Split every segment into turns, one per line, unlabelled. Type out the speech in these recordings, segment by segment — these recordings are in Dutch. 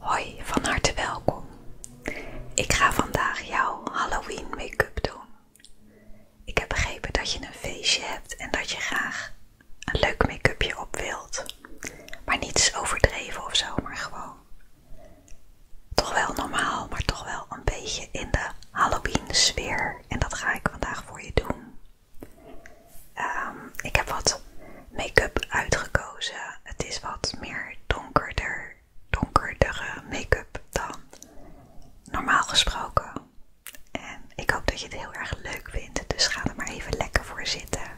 Hoi, van harte welkom. Ik ga vandaag jouw Halloween make-up doen. Ik heb begrepen dat je een feestje hebt en dat je graag een leuk make-upje op wilt. Maar niets overdreven of zo, maar gewoon toch wel normaal, maar toch wel een beetje in de Halloween sfeer. En dat ga ik vandaag voor je doen. Ehm, ik heb wat make-up uitgekozen. Het is wat meer donkerder, donkerdere make-up dan normaal gesproken. En ik hoop dat je het heel erg leuk vindt. Dus ga er maar even lekker voor zitten.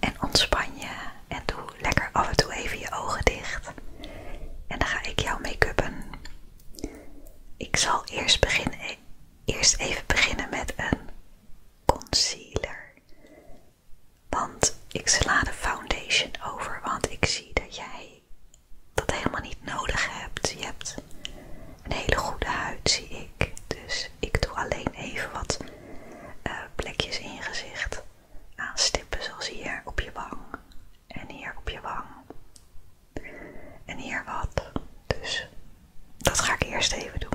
En ontspan je. En doe lekker af en toe even je ogen dicht. En dan ga ik jou make upen Ik zal e-, eerst, even beginnen met een concealer. Want ik sla de foundation over, want ik zie dat jij dat helemaal niet nodig hebt. Je hebt een hele goede huid, zie ik. Dus ik doe alleen even wat eh, plekjes in je gezicht aanstippen zoals hier op je wang en hier op je wang en hier wat. Dus dat ga ik eerst even doen.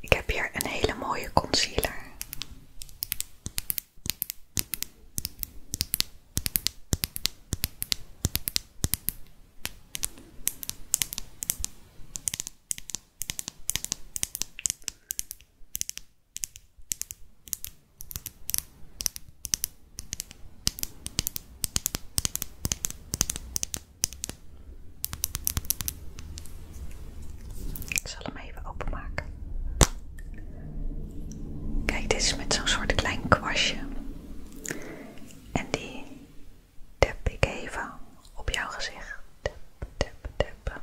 Ik heb hier een hele mooie concealer. Ik zal hem even openmaken. Kijk, dit is met zo'n soort klein kwastje. En die tap ik even op jouw gezicht. Tap, tap, tap.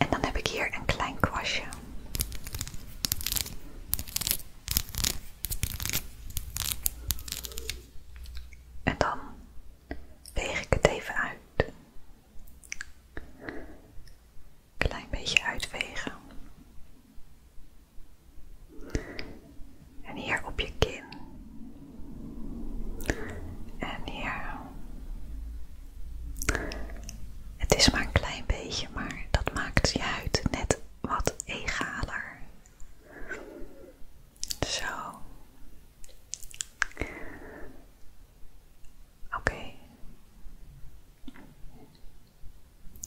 En dan heb ik hier een klein kwastje. En dan weeg ik het even uit. Klein beetje uitwegen. En hier op je kin. En hier. Het is maar een klein beetje, maar dat maakt je huid net wat egaler. Zo. Oké.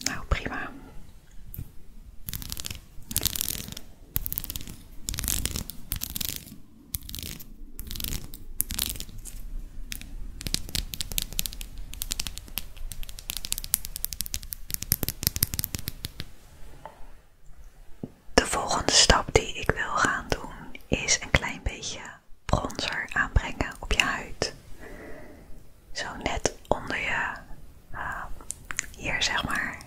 Nou, prima. De volgende stap die ik wil gaan doen is een klein beetje bronzer aanbrengen op je huid. Zo net onder je, eh, hier zeg maar,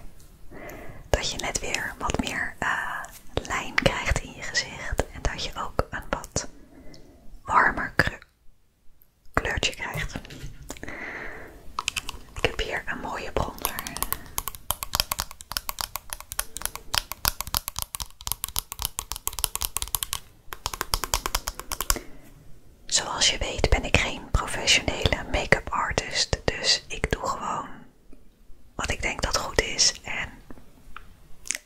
dat je net weer wat meer eh, lijn krijgt in je gezicht en dat je ook een wat warmer kleurtje krijgt. Ik heb hier een mooie bronzer. Zoals je weet ben ik geen professionele make-up artist, dus ik doe gewoon wat ik denk dat goed is en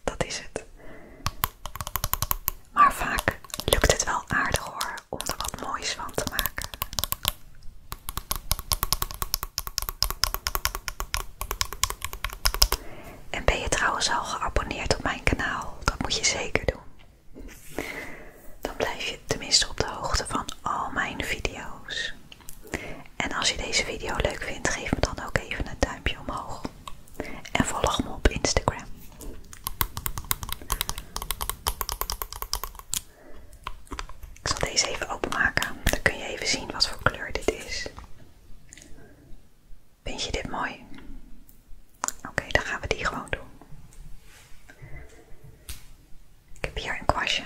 dat is het. Maar vaak lukt het wel aardig hoor om er wat moois van te maken. En ben je trouwens al geabonneerd op mijn kanaal? Dat moet je zeker doen. Dan blijf je tenminste op de hoogte van al mijn video's. En als je deze video leuk vindt, geef me dan ook even een duimpje omhoog. En volg me op Instagram. Ik zal deze even openmaken. Dan kun je even zien wat voor kleur dit is. Vind je dit mooi? Oké, dan gaan we die gewoon doen. Ik heb hier een kwastje.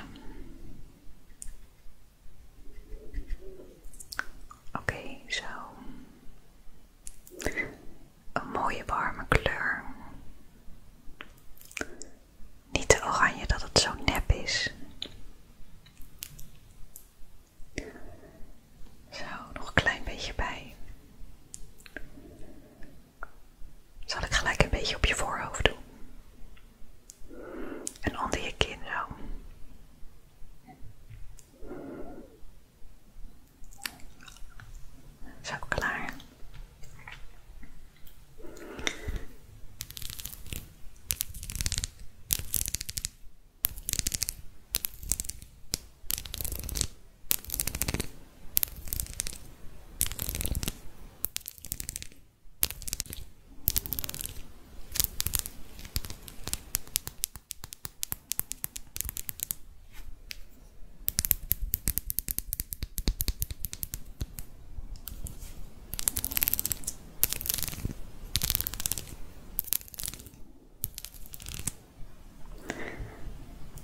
Oké, zo een mooie warme kleur. Niet te oranje dat het zo nep is. Zo, nog een klein beetje bij. Zal ik gelijk een beetje op je voorhoofd doen. En onder je kin zo. Zo klaar.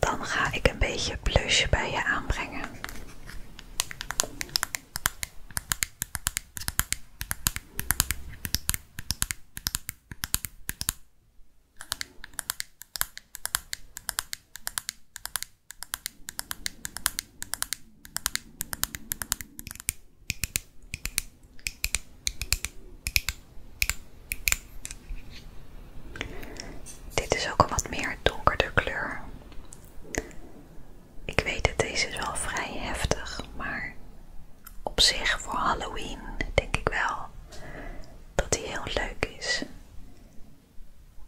Dan ga ik een beetje blusje bij je aanbrengen. Dit is ook een wat meer donkerder kleur. Ik weet dat deze wel vrij heftig, maar op zich voor Halloween denk ik wel dat die heel leuk is.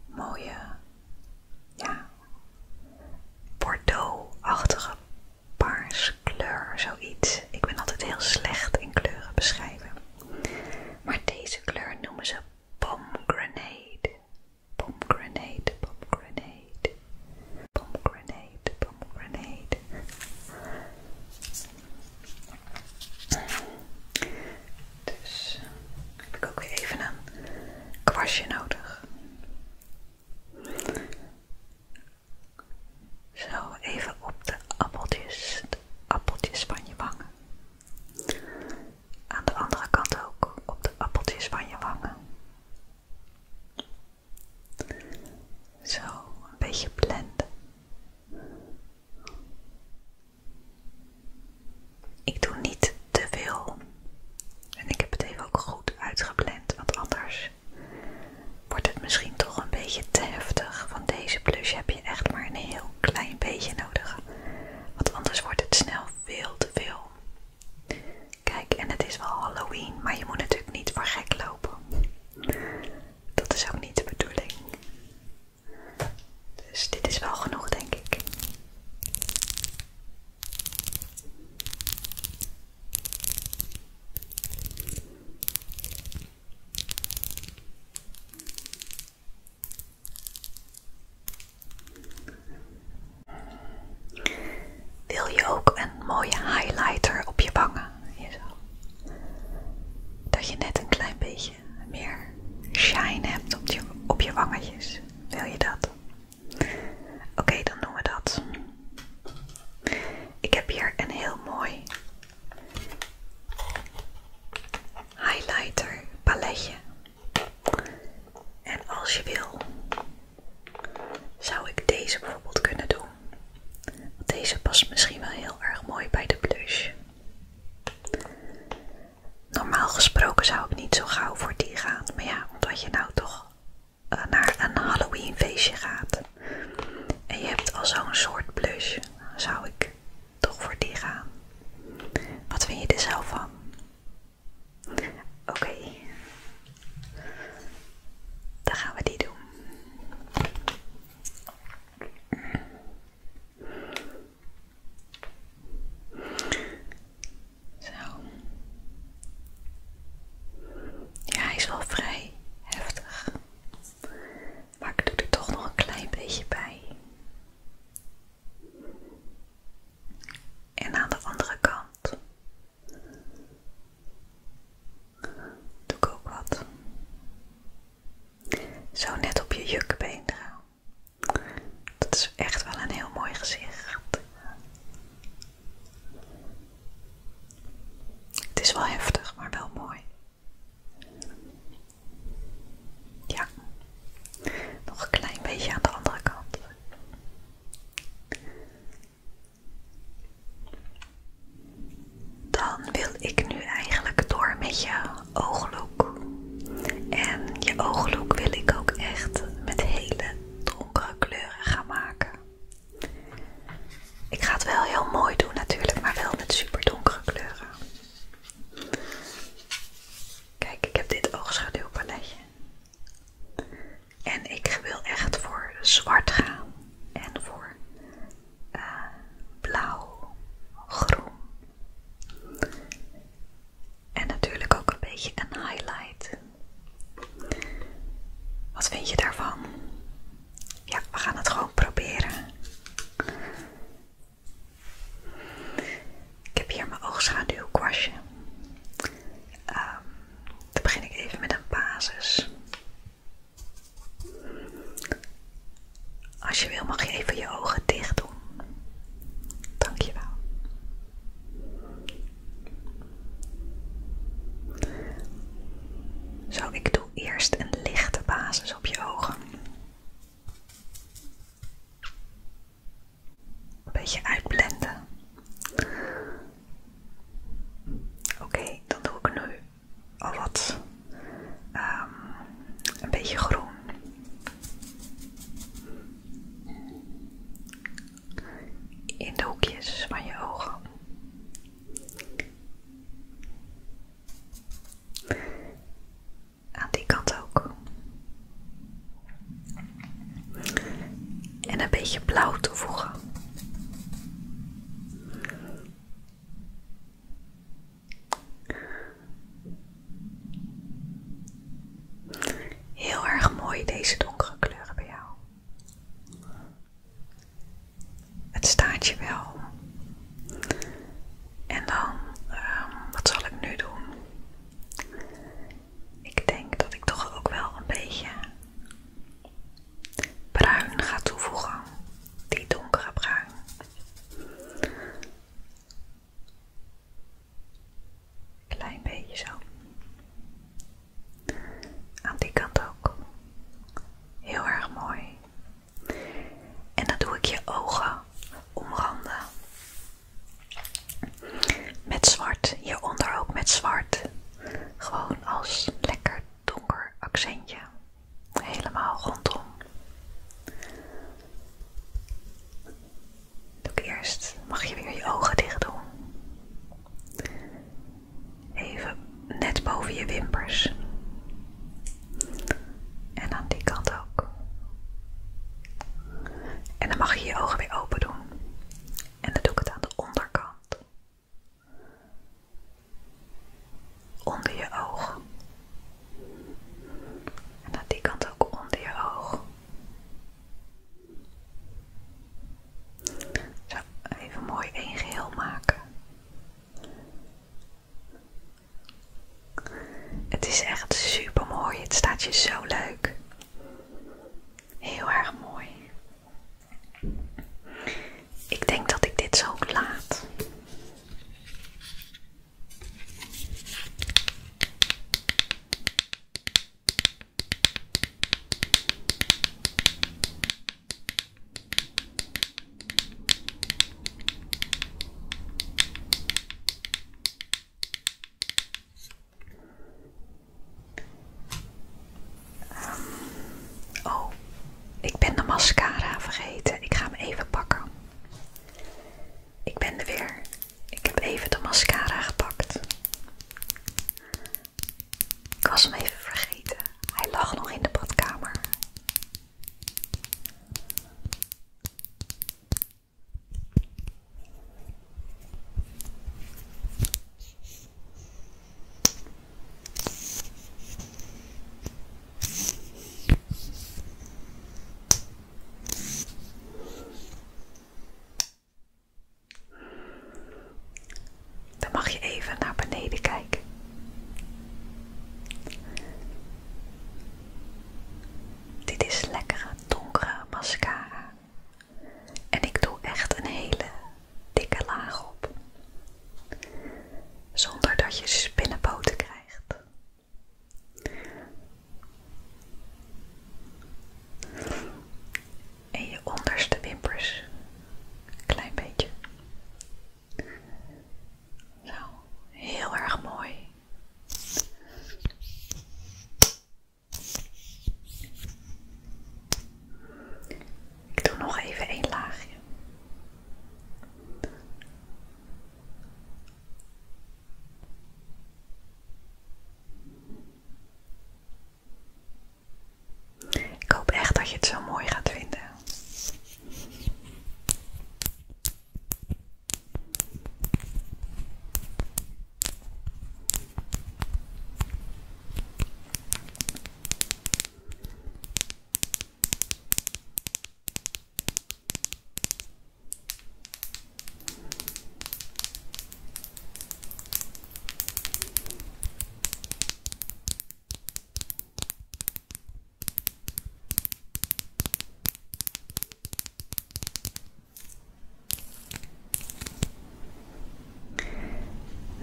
Mooie, ja, bordeaux-achtige paarskleur, zoiets. Ik ben altijd heel slecht in kleuren beschrijven. Maar deze kleur noemen ze pomegranate. Pomegranate, pomegranate, pomegranate, pomegranate. Dus eh, heb ik ook weer even een kwastje nodig. Zo, even op de appeltjes, de appeltjes van je wangen. Aan de andere kant ook, op de appeltjes van je wangen. Zo, een beetje blenden. Ik doe niet te veel. En ik heb het even ook goed uitgepland, want anders wordt het misschien toch een beetje te heftig. Van deze blush heb je echt maar een heel klein beetje nodig. Want anders wordt het snel veel te veel. Kijk, en het is wel Halloween, maar je moet natuurlijk niet voor gek lopen dat is ook niet de bedoeling. Dus dit is wel genoeg, denk ik. Wil je ook een mooie highlighter op je wangen? hier zo. Dat je net een klein beetje meer shine hebt op je, op je wangetjes. Wil je dat? Oké, dan doen we dat. Ik heb hier een heel mooi highlighter paletje. En als je wil, zou ik deze bijvoorbeeld kunnen doen deze past misschien wel heel erg mooi bij de blush. Normaal gesproken zou ik niet zo gauw voor die gaan. Maar ja, omdat je nou toch eh, naar een Halloween feestje gaat. En je hebt al zo'n soort blush. Zou ik toch voor die gaan. Wat vind je er zelf van? Oké. Dan gaan we die doen. Ja, hij is wel vrij heftig. Maar ik doe er toch nog een klein beetje bij. En aan de andere kant doe ik ook wat. Zo net op je jukbeenderen. Dat is echt wel een heel mooi gezicht. Het is wel heftig, maar wel mooi. Ja, nog een klein beetje aan de andere kant. Dan wil ik nu eigenlijk door met je ooglook. En je ooglook wil ik ook echt met hele donkere kleuren gaan maken. Ik ga het wel heel mooi doen natuurlijk, maar wel met super donkere kleuren. Kijk, ik heb dit oogschaduwpaletje. En ik wil echt voor zwart gaan en voor eh, blauw, groen. En natuurlijk ook een beetje een highlight. Wat vind je daarvan? Ja, we gaan het gewoon proberen. Ik heb hier mijn oogschaduwkwastje. kwastje. Ehm, dan begin ik even met een basis. Als je wil mag je even je ogen dicht doen. Dankjewel. Zo, ik doe eerst een lichte basis op je ogen. Een beetje uitblenden. Oké, dan doe ik nu al wat ehm, een beetje groen. In de hoekjes van je ogen. Aan die kant ook. En een beetje blauw toevoegen. Heel erg mooi deze donkere kleuren bij jou. Het staat je wel. En dan, ehm, wat zal ik nu doen? Ik denk dat ik toch ook wel een beetje bruin ga toevoegen. Die donkere bruin. Klein beetje zo. Aan die kant ook. Heel erg mooi. En dan doe ik je ogen omranden. Met zwart. je ook met zwart. Gewoon als lekker donker accentje helemaal rondom. Doe ik eerst, mag je weer je ogen dicht doen. Even net boven je wimpers. En aan die kant ook. En dan mag je je ogen weer open doen. En dan doe ik het aan de onderkant. Onder je oog. En aan die kant ook onder je oog. Zo, even mooi één geheel maken. Het is echt super mooi. Het staat je zo leuk. Heel erg mooi. Ik denk dat ik dit zo laat. Ehm, oh, ik ben de mascara vergeten. Ik ga hem even pakken. Ik ben er weer. Ik heb even de mascara gepakt. Ik was hem even vergeten. Hij lag nog in de badkamer. Dan mag je even naar beneden kijken. Dit is lekkere donkere mascara. En ik doe echt een hele dikke laag op. Zonder dat je spinnenboten krijgt. En je onderste wimpers. Klein beetje. Zo, heel erg mooi. Ik doe nog even één laagje. Ik hoop echt dat je het zo mooi gaat vinden.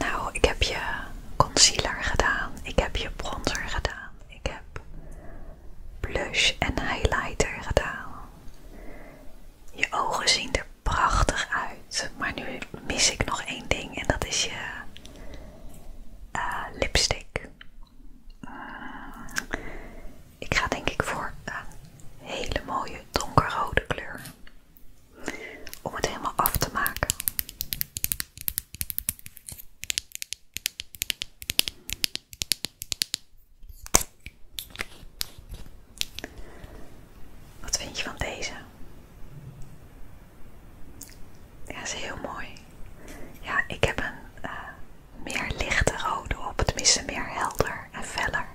Nou, ik heb je concealer gedaan, ik heb je bronzer gedaan, ik heb blush en highlighter gedaan. Je ogen zien er prachtig uit, maar nu mis ik nog één ding en dat is je eh, lipstick. ik ga denk ik voor een hele mooie donkerrode kleur om het helemaal af te maken. Wat vind je van deze? Ja, is heel mooi. Ja, ik heb een eh, meer lichte rode op, Het tenminste meer helder en veller.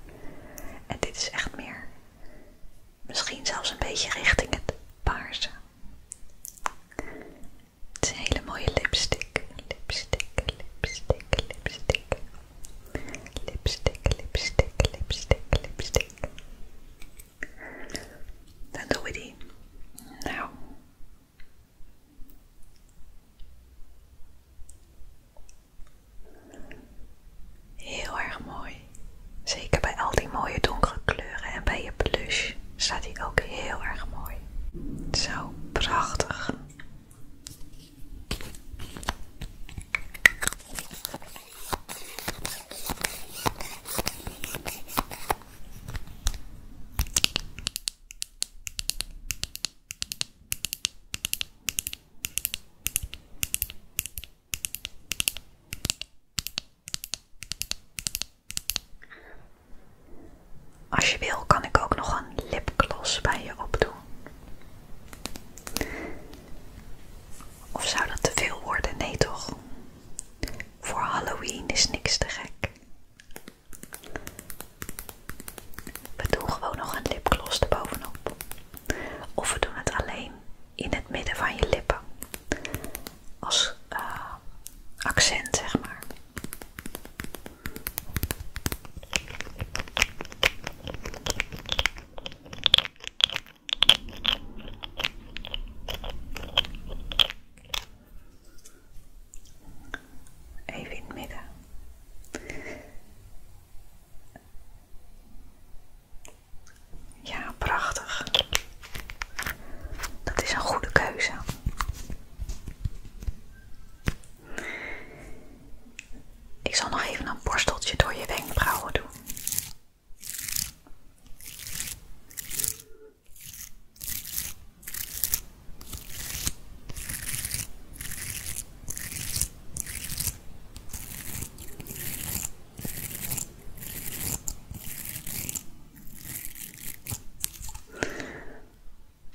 En dit is echt meer, misschien zelfs een beetje richting het paarse. Het is een hele mooie lipstick. Lipstick, lipstick, lipstick. Lipstick, lipstick, lipstick, lipstick. Dan doen we die. Nou. Heel erg mooi. Zeker bij al die mooie donkere kleuren en bij je blush staat die ook heel erg mooi. Zo prachtig. Als je wil kan ik ook nog een lipgloss bij je opdoen. Of zou dat te veel worden? Nee toch? Voor Halloween is niks te gek. We doen gewoon nog een lipgloss erbovenop. Of we doen het alleen in het midden van je lippen als uh, accent, zeg maar. Even in het midden. Ja, prachtig. Dat is een goede keuze. Ik zal nog even een borsteltje door je wenkbrauwen doen.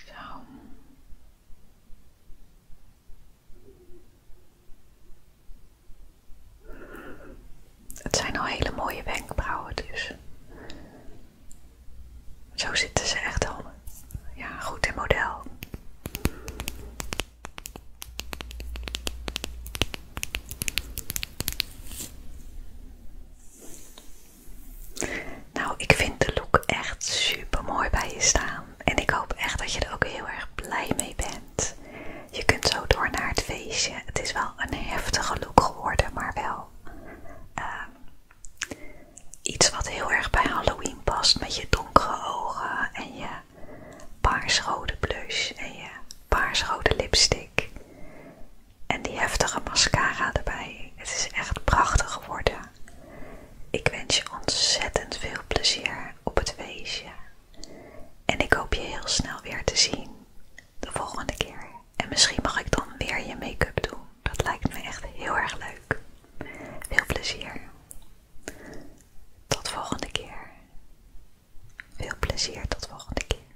Zo. Het zijn al hele mooie wenkbrauwen, dus zo zitten ze echt al ja, goed in model. Nou, ik vind de look echt super mooi bij je staan. En ik hoop echt dat je er ook heel erg blij mee bent. Je kunt zo door naar het feestje. Het is wel een heftige look geworden, maar wel ehm, iets wat heel erg bij Halloween past. Met je donkere ogen en je paarsrode blush en je paarsrode lipstick. En die heftige mascara erbij. Het is echt prachtig geworden. Ik wens je ontzettend veel plezier op het feestje. En ik hoop je heel snel weer te zien. De volgende keer. En misschien mag ik dan weer je make-up doen. Dat lijkt me echt heel erg leuk. Veel plezier. Tot volgende keer. Veel plezier tot volgende keer.